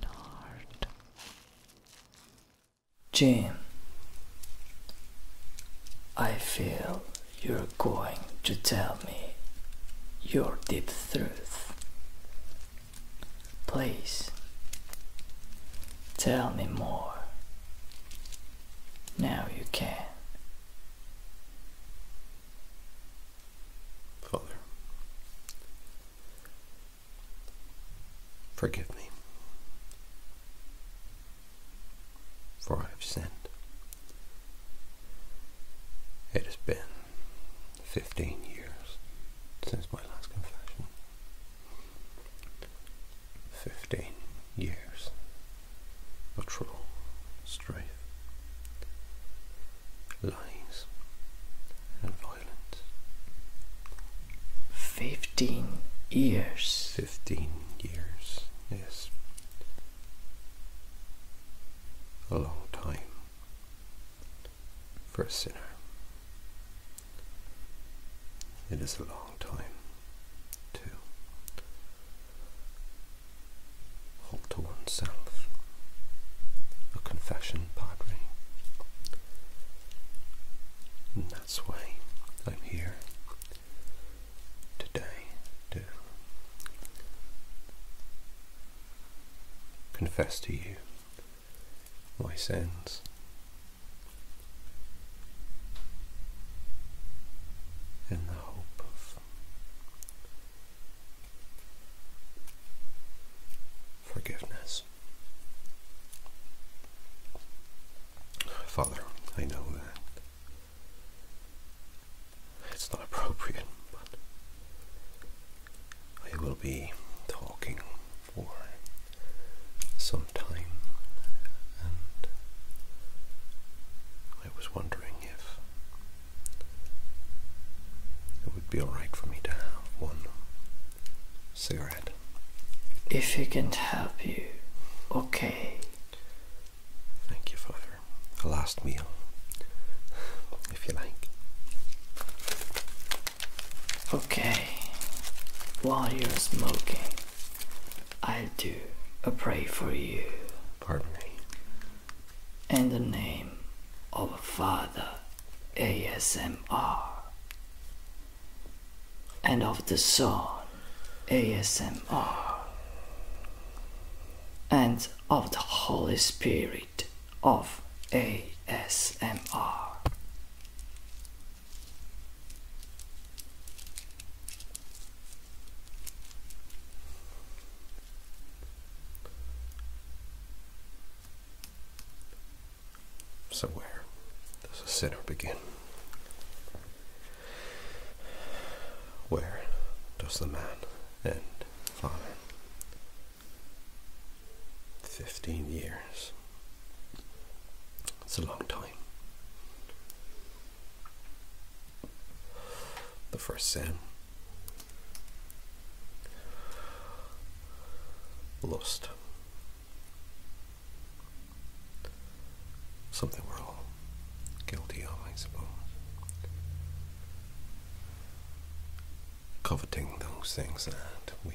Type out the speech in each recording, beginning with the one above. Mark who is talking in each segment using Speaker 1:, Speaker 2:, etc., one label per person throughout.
Speaker 1: Donald Jim, I feel you're going to tell me your deep truth. Please tell me more. Now you can. Father, forgive me, for I have sinned. It has been 15 years since my last confession. 15 years but true lies, and violence. Fifteen years. Fifteen years, yes. A long time for a sinner. It is a long time, too. All to oneself. A confession, Padre. And that's why I'm here today to confess to you my sins. In the hope of forgiveness. Father, I know that it's not appropriate, but I will be talking for some time, and I was wondering if it would be alright for me to have one cigarette. If it can help you, okay. Thank you, Father. A last meal, if you like. Okay, while you're smoking, I'll do a pray for you. Pardon me. In the name of Father ASMR and of the Son ASMR and of the Holy Spirit of ASMR. So where does the sinner begin? Where does the man end? Father, 15 years it's a long time. The first sin. Lust. Something we're all guilty of, I suppose. Coveting those things that we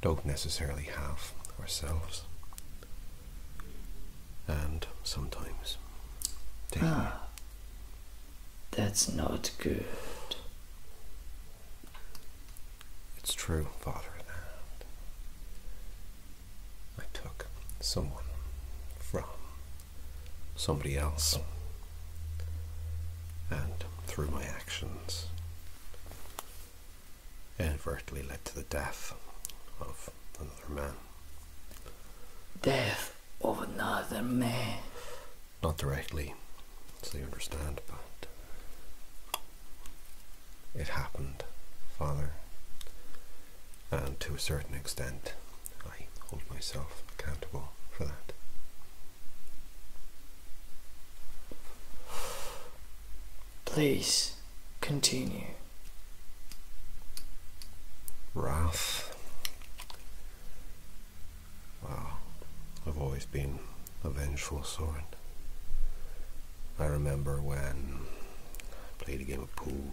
Speaker 1: don't necessarily have ourselves. And sometimes ah, that's not good. It's true, Father, that I took someone from somebody else and through my actions inadvertently led to the death of another man. Death of another man. Not directly, so you understand, but it happened, Father. And to a certain extent, I hold myself accountable for that. Please continue. Wrath. Wow, I've always been a vengeful sort. I remember when I played a game of pool.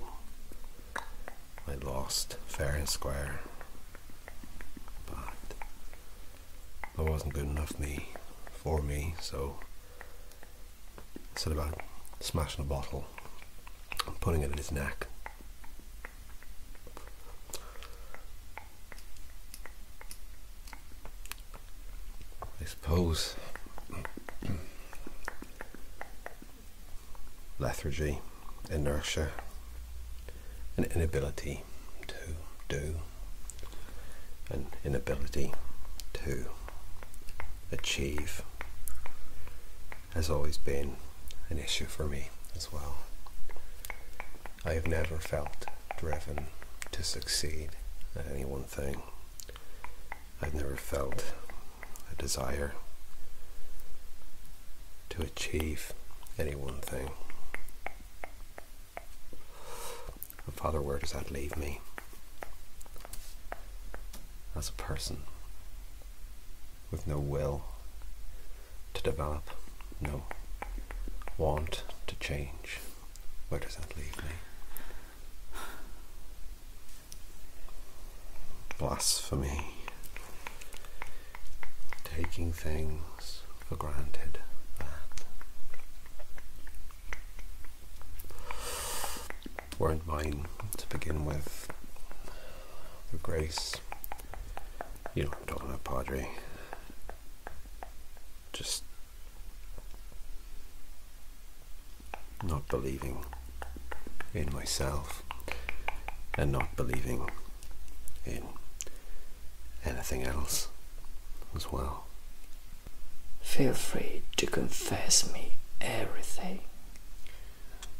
Speaker 1: I lost fair and square. But that wasn't good enough me for me. So instead about uh, smashing a bottle and putting it in his neck. I suppose lethargy, inertia, an inability to do, an inability to achieve has always been an issue for me as well. I have never felt driven to succeed at any one thing. I've never felt a desire to achieve any one thing. And Father, where does that leave me as a person with no will to develop, no want to change? Where does that leave me? Blasphemy, taking things for granted that weren't mine to begin with. The grace, you know, I'm talking about Padre, just not believing in myself and not believing in anything else as well. Feel free to confess me everything.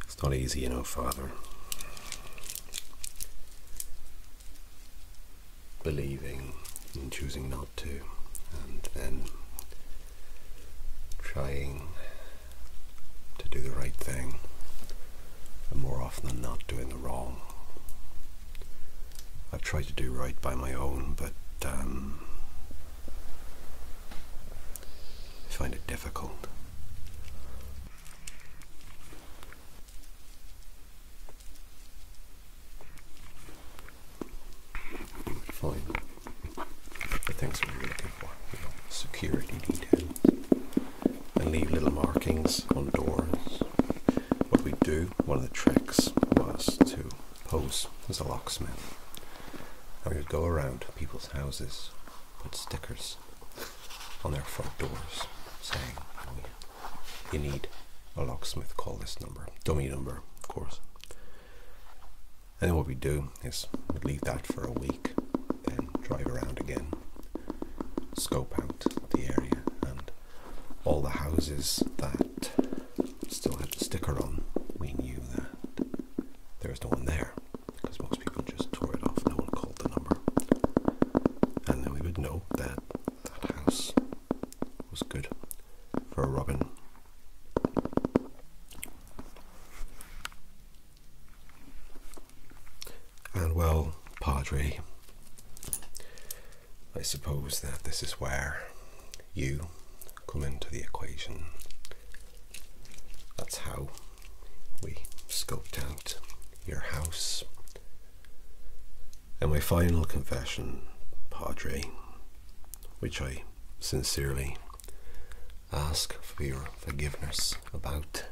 Speaker 1: It's not easy, you know, Father. Believing and choosing not to, and then trying to do the right thing, and more often than not, doing the wrong. I've tried to do right by my own, but um, I find it difficult. Fine. But thanks for security details. And leave little markings on doors. What we do, one of the tricks was to pose as a locksmith. And we would go around people's houses, put stickers on their front doors saying, oh, you need a locksmith, call this number. Dummy number, of course. And then what we do is leave that for a week, then drive around again, scope out the area and all the houses that still had the sticker on, we knew that there was no one there because most people just tore it off, no one called the number. And then we would know that that house was good for a robin. And well, Padre, I suppose that this is where you come into the equation. That's how we scoped out your house. And my final confession, Padre, which I sincerely ask for your forgiveness about.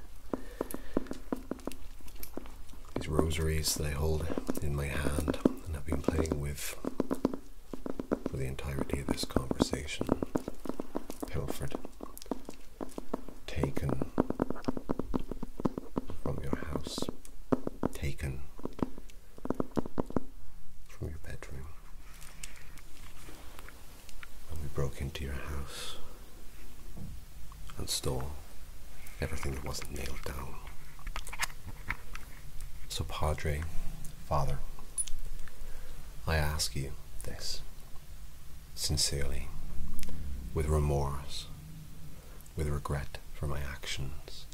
Speaker 1: These rosaries that I hold in my hand and have been playing with for the entirety of this conversation, pilfered, taken from your house, taken from your bedroom. And we broke into your house and stole everything that wasn't nailed down. So, Padre, Father, I ask you this sincerely, with remorse, with regret for my actions,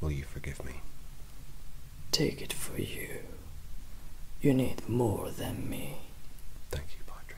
Speaker 1: Will you forgive me? Take it for you. You need more than me. Thank you, Padre.